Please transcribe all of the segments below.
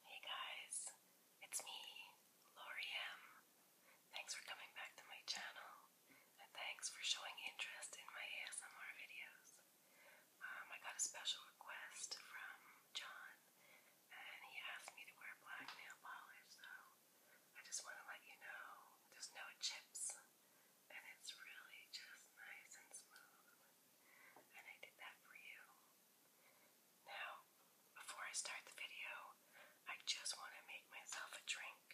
Hey guys, it's me, Lori M. Thanks for coming back to my channel and thanks for showing interest in my ASMR videos. Um, I got a special request from John and he asked me to wear black nail polish, so I just want to let you know there's no chips and it's really just nice and smooth. And I did that for you. Now, before I start the video, I just want to make myself a drink.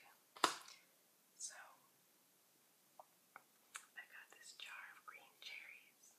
So, I got this jar of green cherries.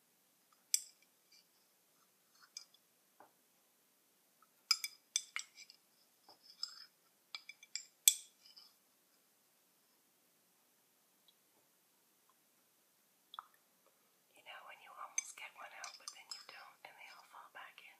You know, when you almost get one out, but then you don't, and they all fall back in.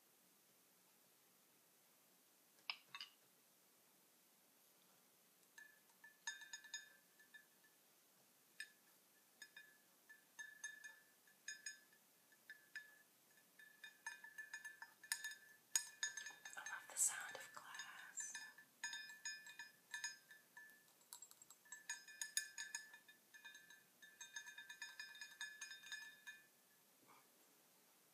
I love the sound of glass. Now,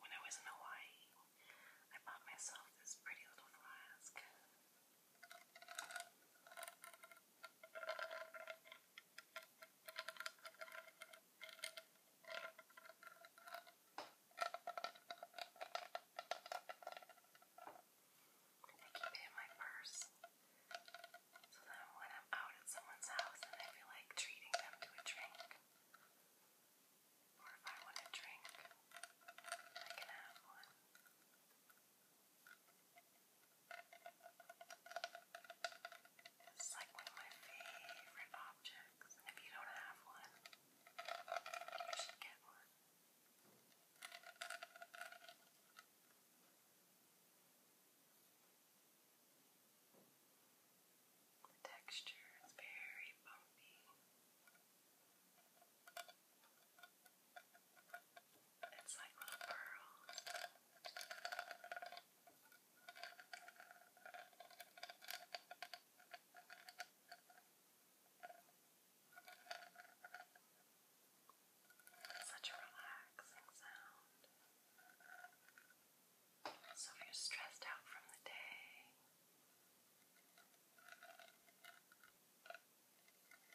when I was in Hawaii, I bought myself this pretty little flask. I keep it in my purse. So then when I'm out at someone's house and I feel like treating them to a drink, or if I want a drink, I can have one. This like one of my favorite objects, if you don't have one, you should get one. texture is very bumpy. It's like little pearls. Such a relaxing sound. So if you're stressed out from the day,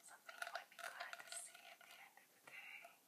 something you might be glad to see at the end of the day.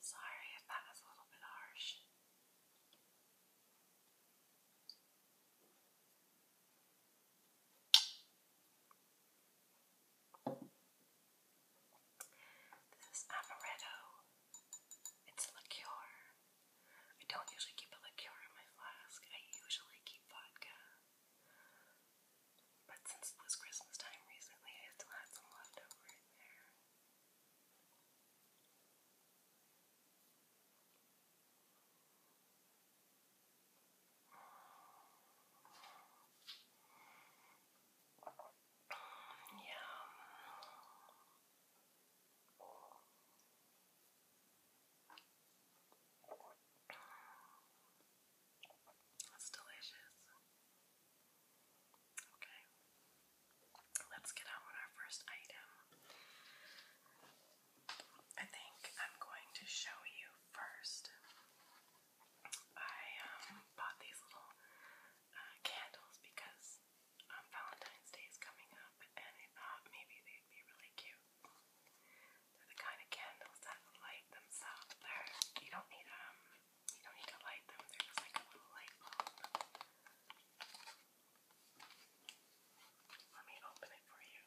Sorry if that was a little bit harsh. This is amaretto. It's a liqueur. I don't usually keep a liqueur in my flask. I usually keep vodka. But since it was Christmas time recently, I still had some left over in there. Yeah. That's delicious. Okay. Let's get on with our first item. I think I'm going to show you first I um, bought these little uh, candles because um, Valentine's Day is coming up, and I thought maybe they'd be really cute. They're the kind of candles that light themselves. you don't need um, you don't need to light them. They're just like a little light bulb. Let me open it for you.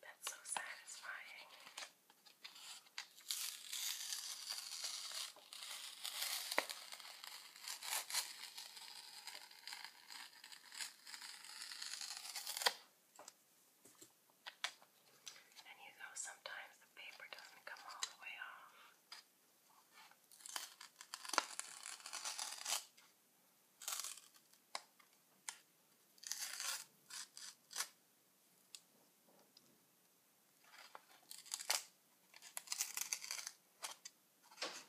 That's so satisfying. And you know, sometimes the paper doesn't come all the way off. All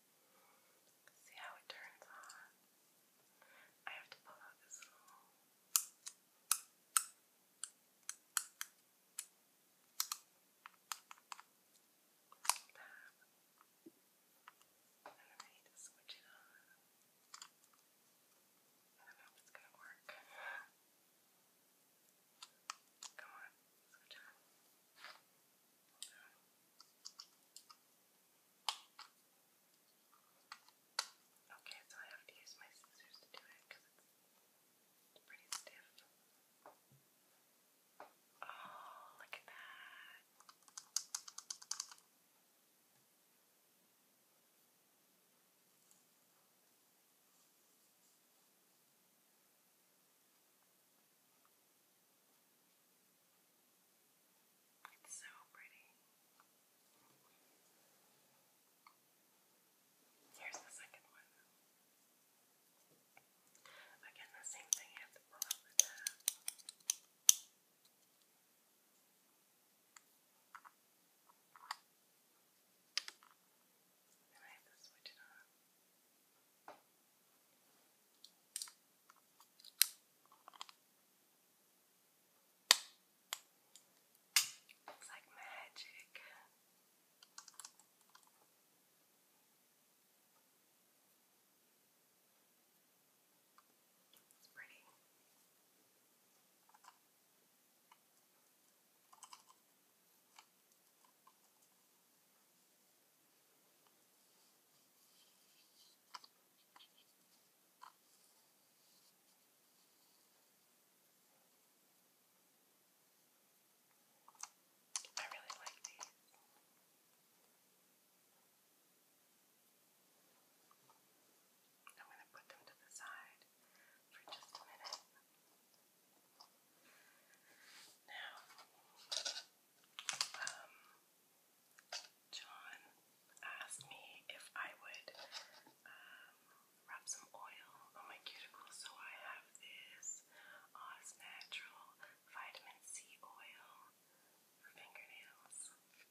See how it turns on. I have to pull out this little. Tab. And switch it on. I don't know if it's gonna work. Come on, switch on. Okay, so I have to use my scissors to do it because it's pretty stiff. Oh, look at that. It's so pretty. Here's the second one. Again, the same thing, you have to pull out the tab. And I have to switch it on. It's like magic. It's pretty. It's I really like these. I'm going to put them to the side for just a minute. Now, um, John asked me if I would um, rub some oil on my cuticles, so I have this Oz Natural Vitamin C oil for fingernails. Okay,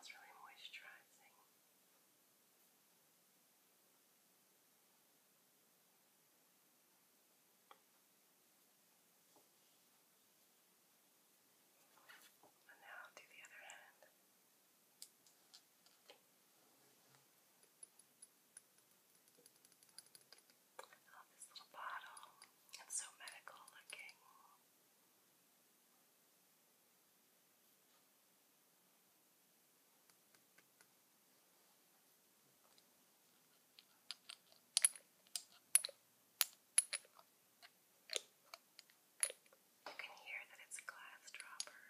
It's really moisturizing. And now I'll do the other hand. Oh, this little bottle. It's so medical looking. You can hear that it's a glass dropper.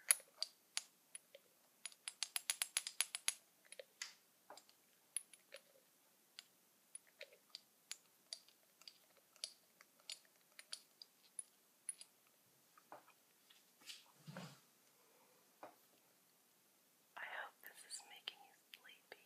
I hope this is making you sleepy.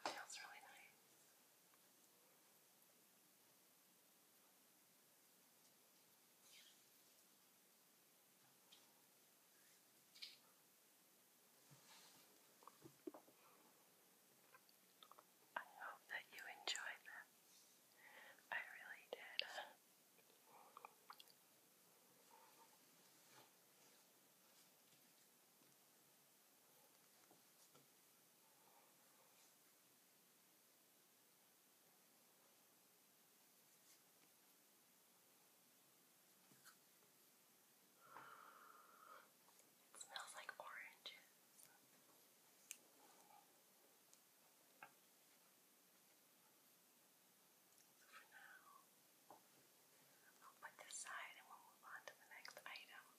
That feels really nice. I hope that you enjoyed them. I really did. It smells like oranges. So for now, I'll put this aside and we'll move on to the next item.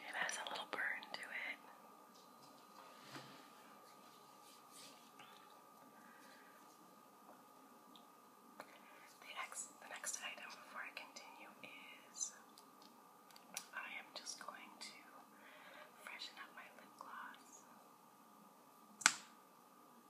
It has a little burn to it. The next, the next item before I continue is I am just going to freshen up my lip gloss.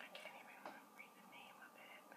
I can't even read the name of it. I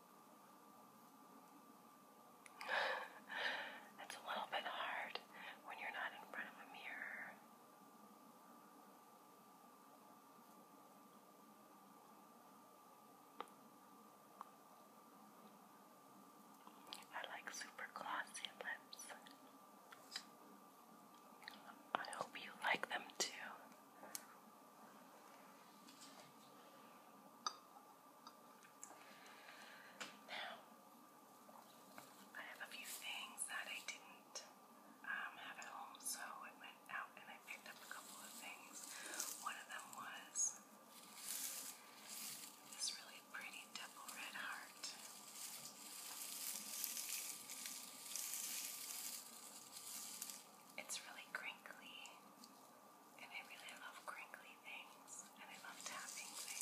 That's a little bit hard when you're not in front of a mirror. I like super glossy lips. I hope you like them too. Now, I have a few things that I didn't um, have at home, so I went out and I picked up a couple of things. One of them was this really pretty double red heart. It's really crinkly. And I really love crinkly things, and I love tapping things.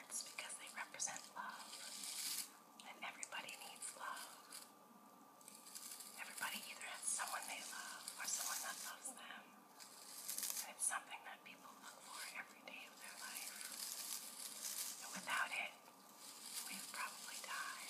because they represent love. And everybody needs love. Everybody either has someone they love or someone that loves them. And it's something that people look for every day of their life. And without it, we'd probably die.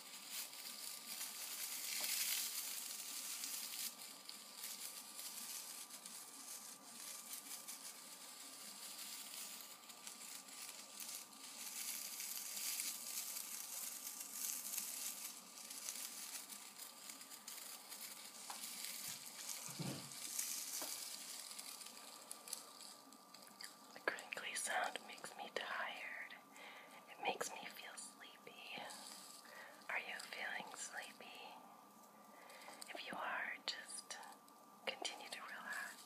The crinkly sound makes me tired. It makes me feel sleepy. Are you feeling sleepy? If you are, just continue to relax.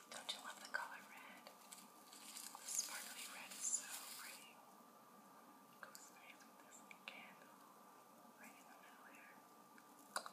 Don't you love the color red? The sparkly red is so pretty. Goes nice with this candle right in the middle here. All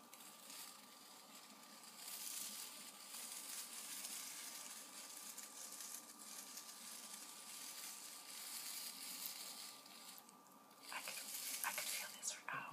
I could I could feel this for hours.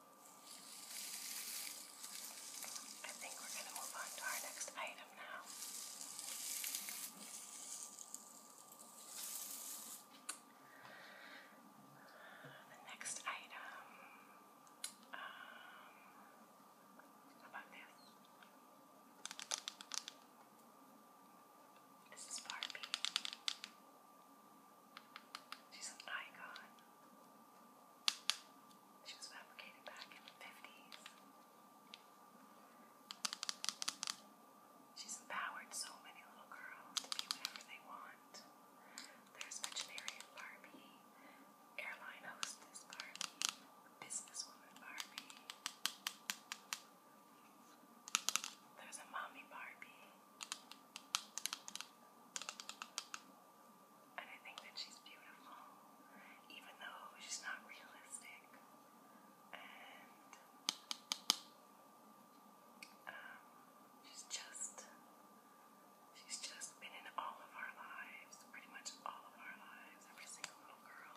I think we're going to move on to our next item now. The next item, um, about this? This is Barbie. She's an icon. She was fabricated back in the 50s. She's empowered so many little girls to be whatever they want. There's veterinarian Barbie, airline hostess Barbie, businesswoman Barbie. There's a mommy Barbie. And I think that she's beautiful, even though she's not realistic. And um, she's just, she's just been in all of our lives, pretty much all of our lives, every single little girl.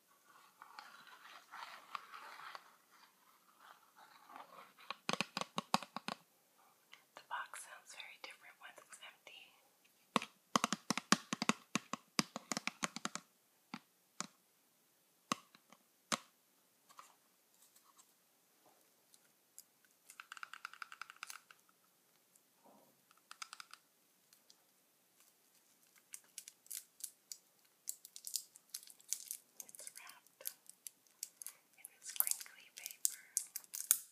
The box sounds very different once it's empty. It's wrapped in this crinkly paper. It's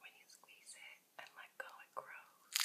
When you squeeze it and let go, it grows.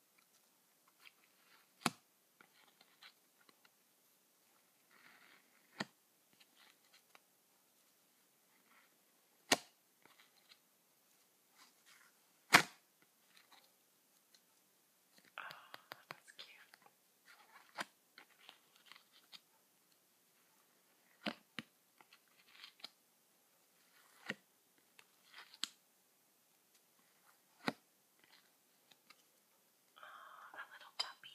Oh, that's cute. Oh, a little puppy.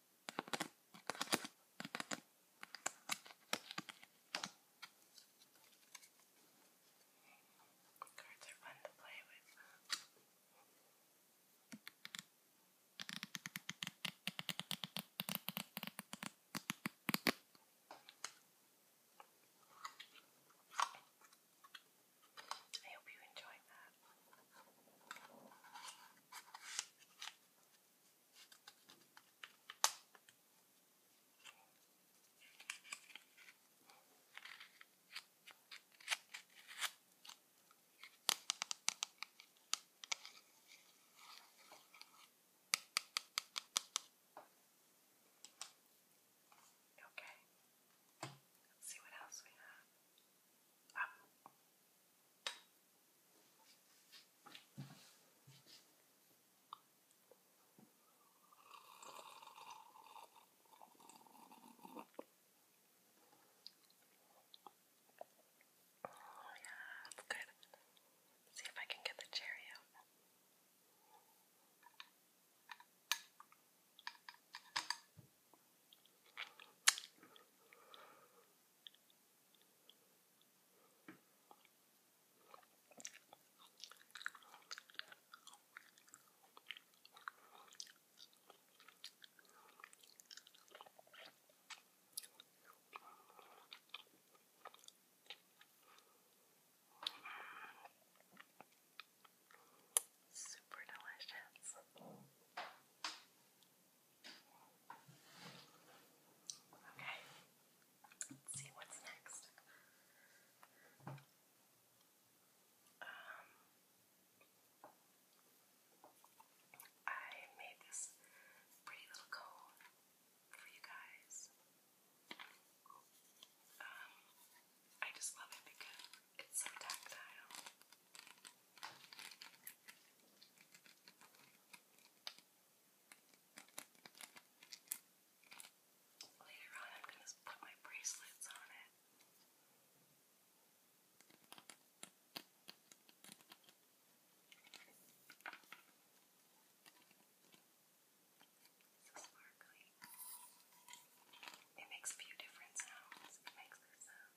Cards are fun to play with. I hope you enjoyed that. Okay, let's see what else we have. Oh yeah, that's good. Let's see if I can get the cherry out. Super delicious. Okay, let's see what's next. Um, I made this pretty little cone for you guys. Um, I just love it because it's so tactile. Later on, I'm going to put my bracelets on it. so sparkly. It makes a few different sounds.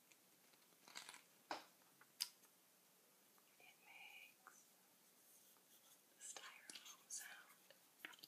It makes the styrofoam sound. It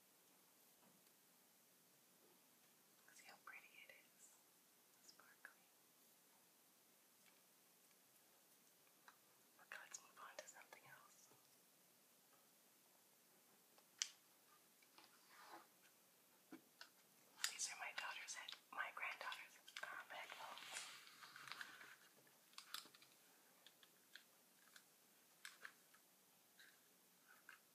See how pretty it is, sparkly. Okay, let's move on to something else. These are my daughter's head, my granddaughter's um, headphones.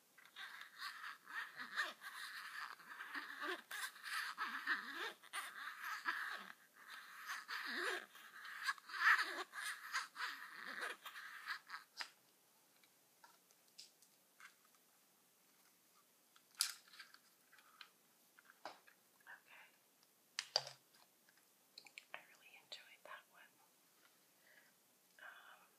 Okay. I really enjoyed that one. Um,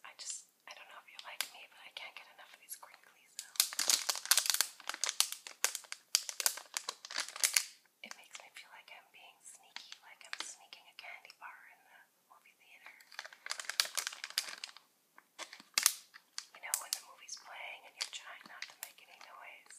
I just, I don't know if you like me, but I can't get enough of these crinkly so it makes me feel like I'm being sneaky, like I'm sneaking a candy bar in the movie theater. You know, when the movie's playing and you're trying not to make any noise.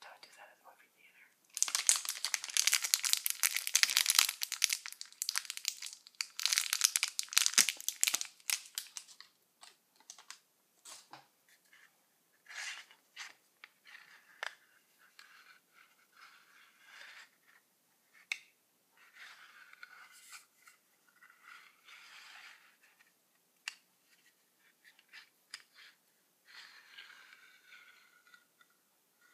Don't do that at the movie theater.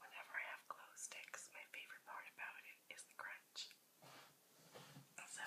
Whenever I have glow sticks, my favorite part about it is the crunch. So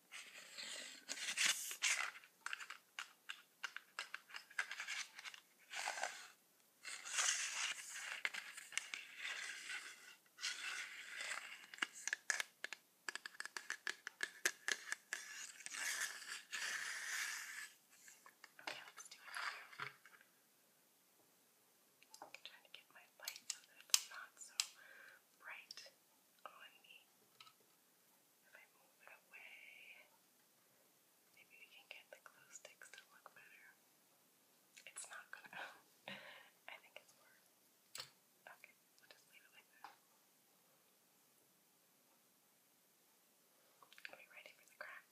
Okay, let's do it. I'm trying to get my light so that it's not so bright on me. Okay. If I move it away, maybe we can get the glue sticks to look better. It's not gonna. I think it's worse. Okay, we'll just leave it like that. Are we ready for the crack?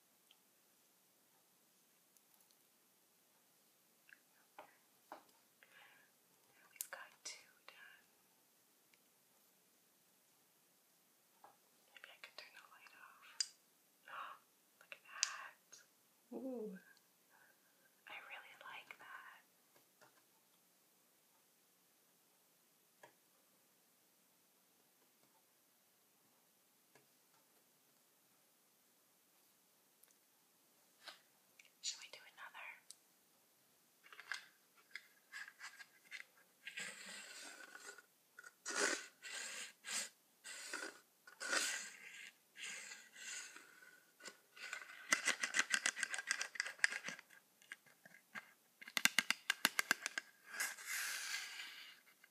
we've got two done. Uh, maybe I can turn the light off. Look at that. Ooh. I really like that. Shall we do another?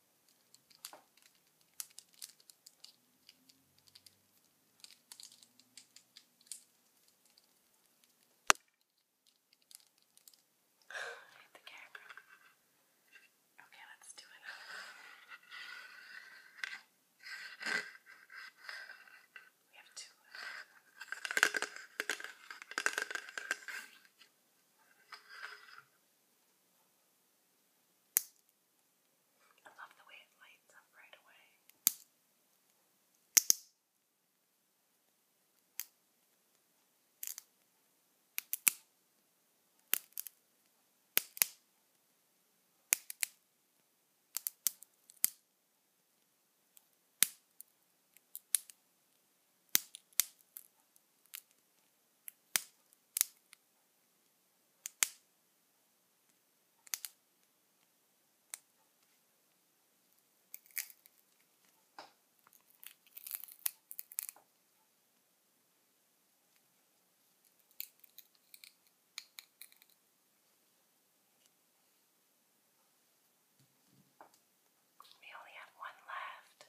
hit the camera. Okay, let's do it. We have two. Left. I love the way it lights up right away. We only have one left.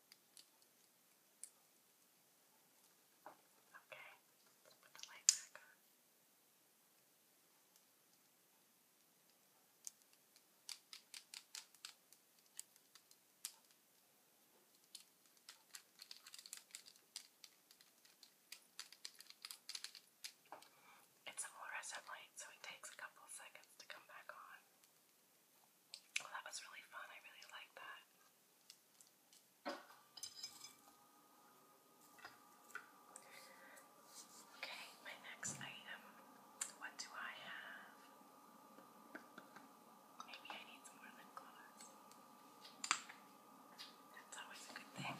Okay, let's put the light back on. It's a fluorescent light, so it takes a couple of seconds to come back on that was really fun. I really like that. Okay, my next item. What do I have? Maybe I need some more lip gloss. That's always a good thing.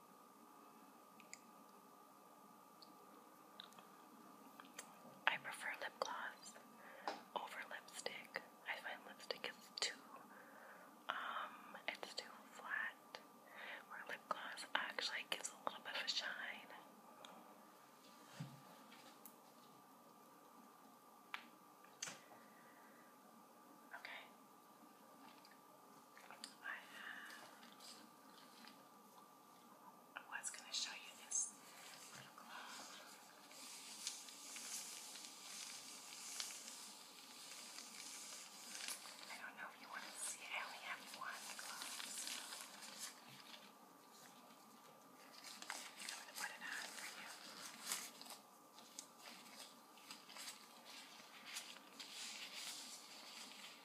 I prefer lip gloss over lipstick. I find lipstick is too, um, it's too flat. Where lip gloss actually gives a little bit of a shine. Okay. I have, I was going to show you this little glove. I don't know if you want to see it. I only have one glove. So. I'm going to put it on for you. I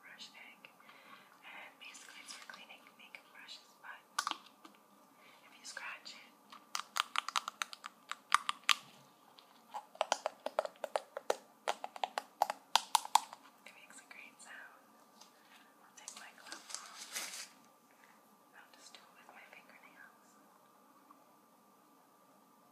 brush egg. And basically it's for cleaning makeup brushes, but if you scratch it, it makes a great sound. I'll take my glove off. I'll just do it with my fingernails.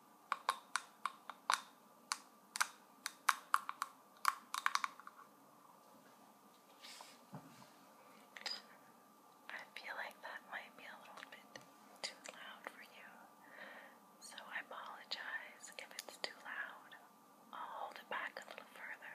I feel like that might be a little bit too loud for you, so I apologize if it's too loud. I'll hold it back a little further.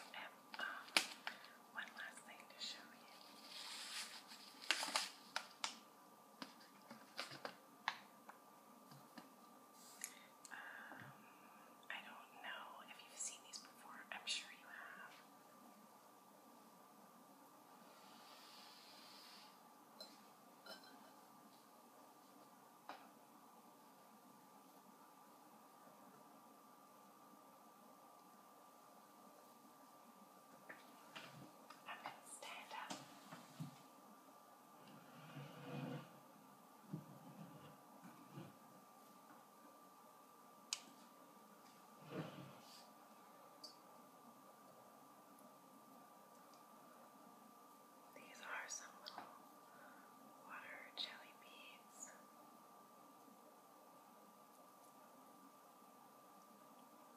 and um, one last thing to show you. Um, I don't know if you've seen these before. I'm sure you have. I'm going to stand up. These are some little water jelly beads.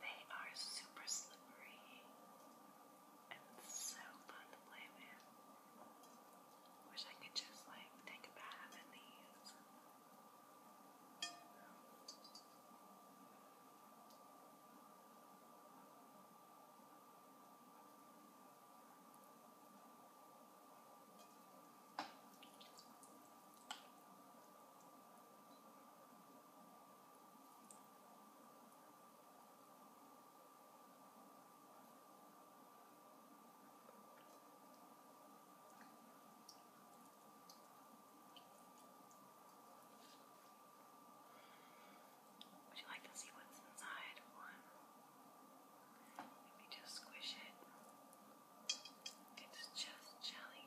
They are super slippery and so fun to play with. Wish I could just like take a bath in these. I would you like to see what's inside one? Maybe just squish it. It's just jelly.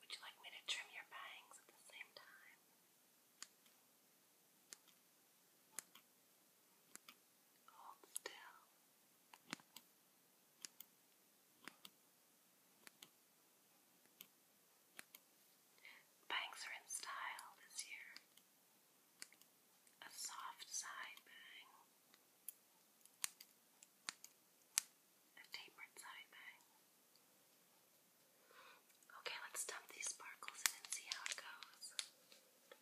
Would you like me to trim your bangs at the same time? Hold still. Bangs are in style this year a soft side bang, a tapered side bang. Okay, let's dump these sparkles in and see how it goes. Okay,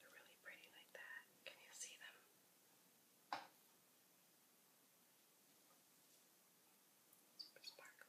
they're really pretty like that. Can you see them? Super sparkly.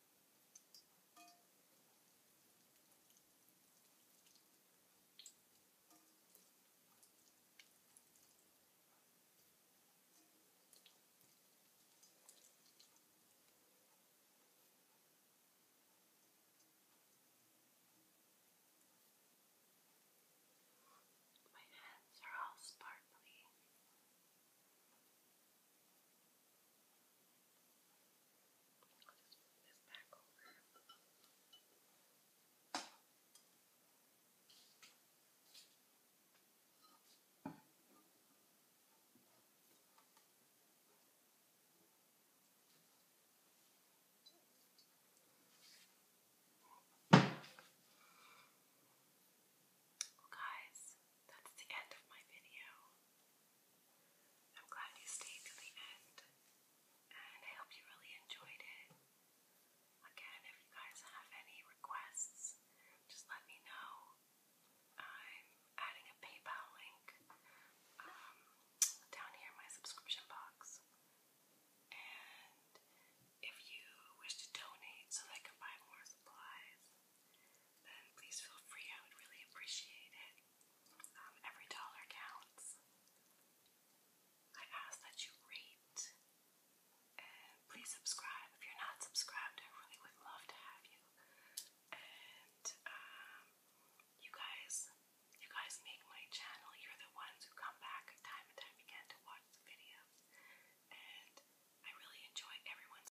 My hands are all sparkly. I'll just put this back over. Well, guys, that's the end of my video. I'm glad you stayed to the end, and I hope you really enjoyed it. Again, if you guys have any requests, just let me know. I'm adding a PayPal link um, down here in my subscription box. And if you wish to donate so that I can buy more supplies, then please feel free. I would really appreciate it. Um, every dollar counts. I ask that you rate and please subscribe. If you're not subscribed, I really would love to have you. And um, you guys, you guys make my channel. You're the ones who come back time and time again to watch the videos, and I really enjoy everyone's